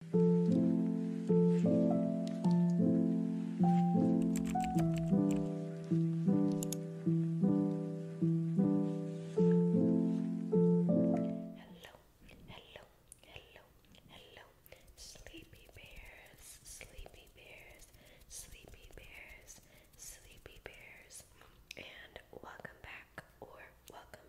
Hello, hello, hello, hello, sleepy bears, sleepy bears, sleepy bears, sleepy bears, and welcome back or welcome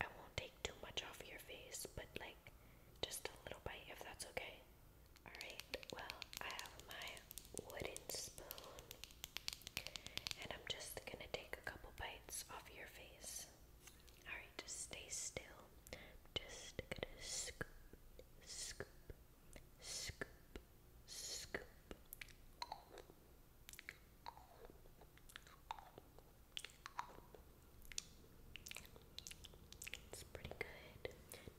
I won't take too much off your face, but like just a little bite if that's okay. Alright, well, I have my wooden spoon, and I'm just gonna take a couple bites off your face. Alright, just stay still. Just gonna scoop, scoop, scoop, scoop. It's pretty good.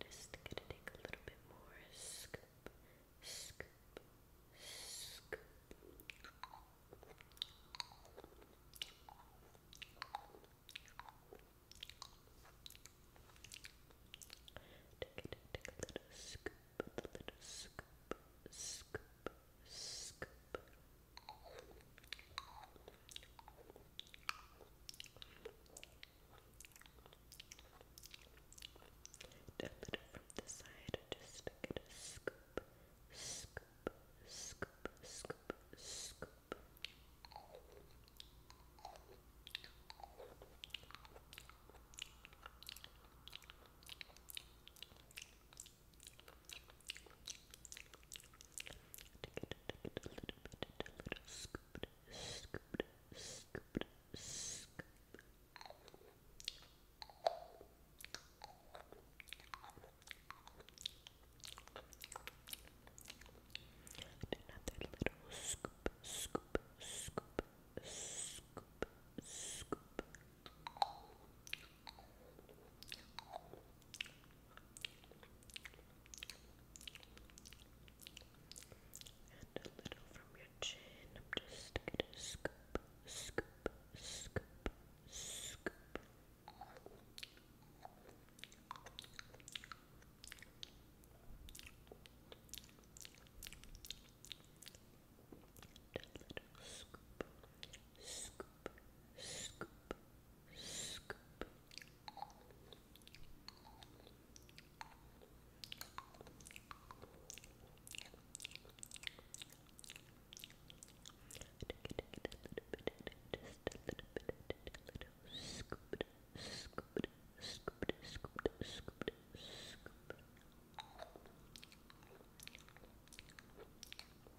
Just gonna take a little bit more. Scoop, scoop, scoop. Take it, take a little scoop, a little scoop, scoop, scoop. A little from the side, just to get a scoop, scoop, scoop, scoop, scoop. Good a little bit, a little scoop, scoop, scoop, scoop. Another little scoop, scoop, scoop, scoop, scoop. And a little from your chin. I'm just gonna scoop, scoop, scoop, scoop. a little scoop, scoop, scoop, scoop, scoop. Just a little bit, a little scoop, scoop, scoop, scoop, scoop, scoop.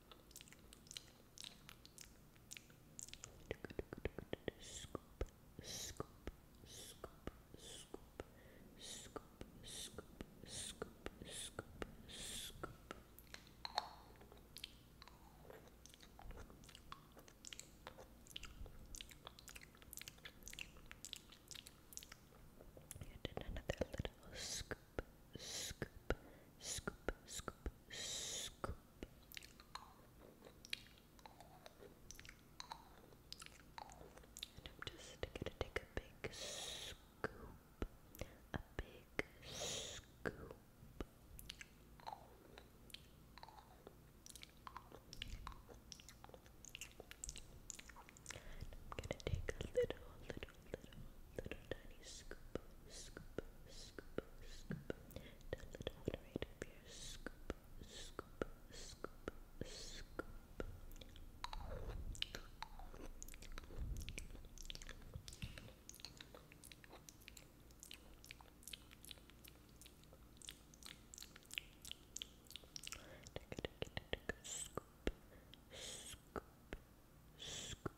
Scoop, scoop, scoop, scoop, scoop, scoop, scoop, scoop, scoop. You did another little scoop scoop, scoop, scoop, scoop, I'm just gonna take a big scoop, a big scoop. I'm gonna take a little, little, little tiny scoop, scoop, scoop, scoop. The little one right up here. Scoop, scoop, scoop, scoop. Scoop, scoop, scoop,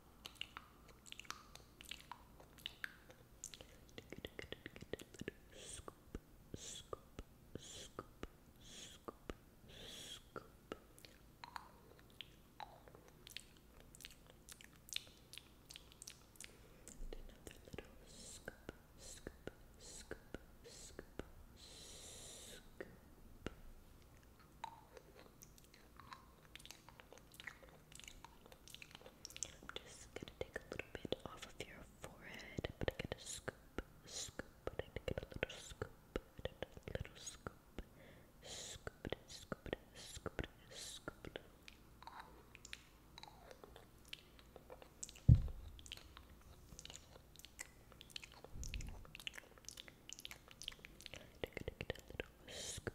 Scoop, scoop, scoop, scoop, scoop. And another little scoop, scoop, scoop, scoop, scoop. I'm just gonna take a little bit off of your forehead. I'm gonna get a scoop, scoop, I'm gonna get a little scoop, little scoop, scoop it, scoop it, scoop it, scoop it. Take a little scoop,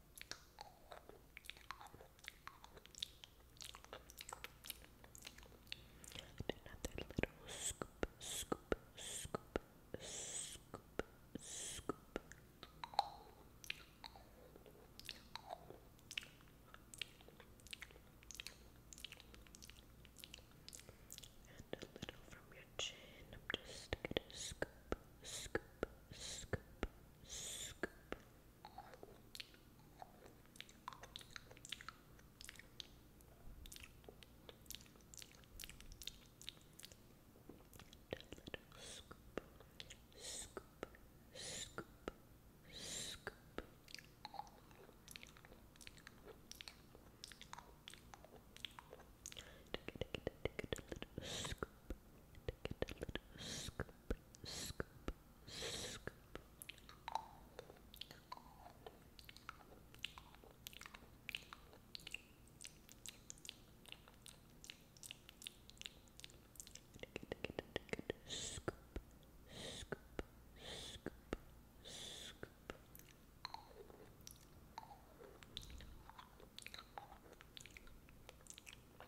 And another little scoop, scoop, scoop, scoop, scoop. And a little from your chin. I'm just gonna scoop, scoop, scoop, scoop little scoop, scoop, scoop, scoop. Take it, take it, take it, a little scoop, Take a little scoop, scoop, scoop. Take it, take it, take it, scoop, scoop, scoop, scoop.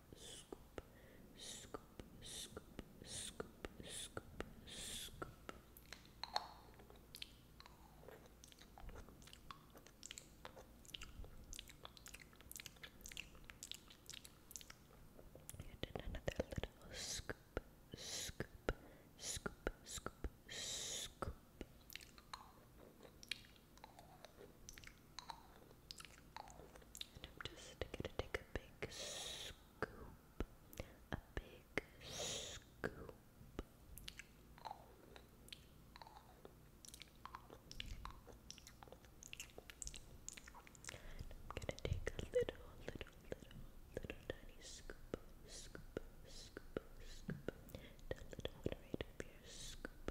scoop, did another little scoop, scoop, scoop, scoop, scoop. I'm just gonna take a big scoop, a big scoop. I'm gonna take a little, little, little, little tiny scoop, scoop, scoop, scoop. Down the top right scoop,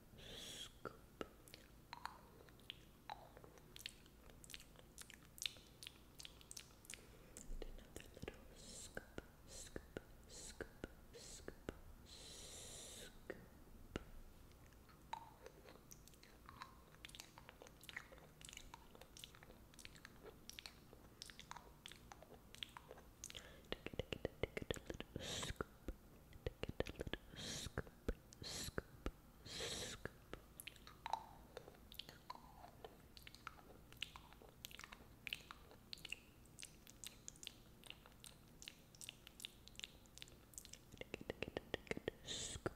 Scoop. And another little scoop, scoop, scoop, scoop, scoop. Scoop. Take it, take it, take it a little scoop. Take it a little scoop, scoop, scoop. Take it, take it, take it scoop,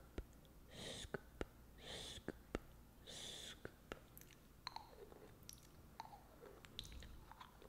scoop, scoop, scoop.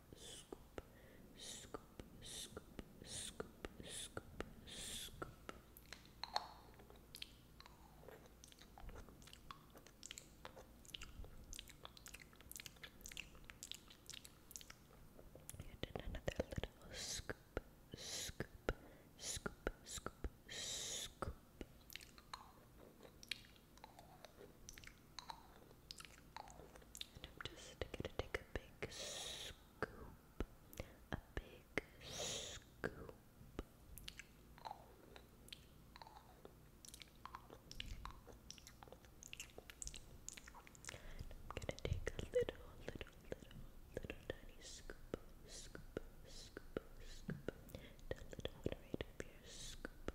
scoop, another little scoop, scoop, scoop, scoop, scoop. I'm just gonna take a big scoop, a big scoop. I'm gonna take a little, little, little, little tiny scoop, scoop, scoop, scoop, a little one right up scoop,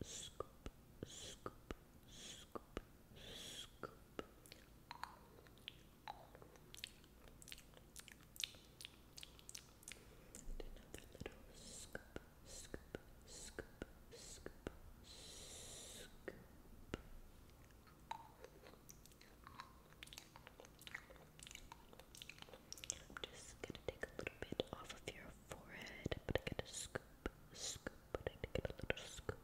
scoop, scoop, scoop, scoop. I'm just gonna take a little bit off of your forehead. I'm gonna scoop, scoop, I take it a little a little scoop,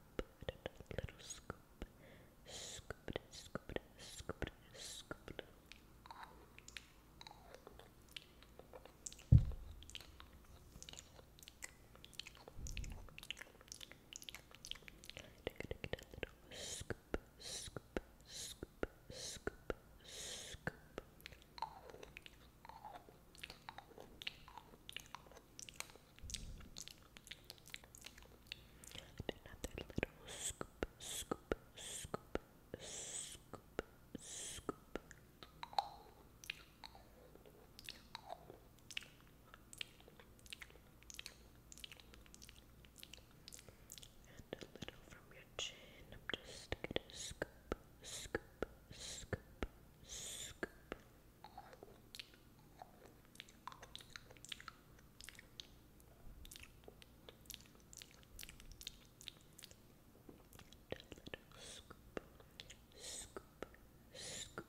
scoop it, scoop scoop scoop scoop, scoop, scoop, scoop, scoop. Another little scoop, scoop, scoop, scoop, scoop. And a little from your chin. I'm just gonna scoop, scoop, scoop, scoop. Little scoop, scoop, scoop, scoop. Scoop,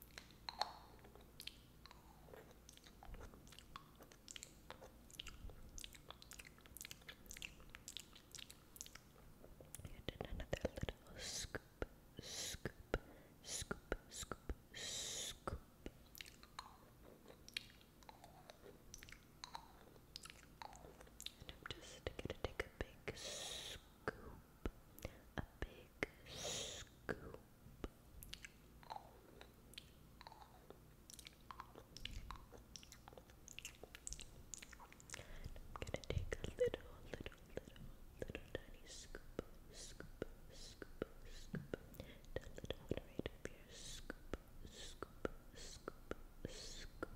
And another little scoop, scoop, scoop, scoop, scoop. And I'm just gonna take a big scoop scoop, a big scoop. I'm gonna take a little, little, little, little tiny scoop, scoop, scoop, scoop. Down the top right up here. Scoop, scoop, scoop, scoop.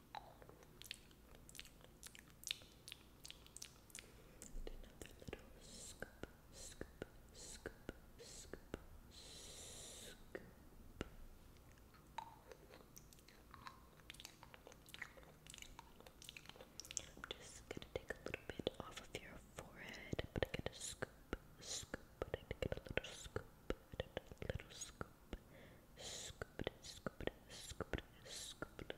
I'm just gonna take a little bit off of your forehead, but I get a scoop, scoop, but I get a little scoop, a little scoop scoop it, scoop it, scoop it, scoop it.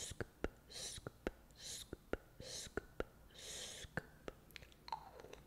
Scoop, scoop, scoop, scoop, scoop.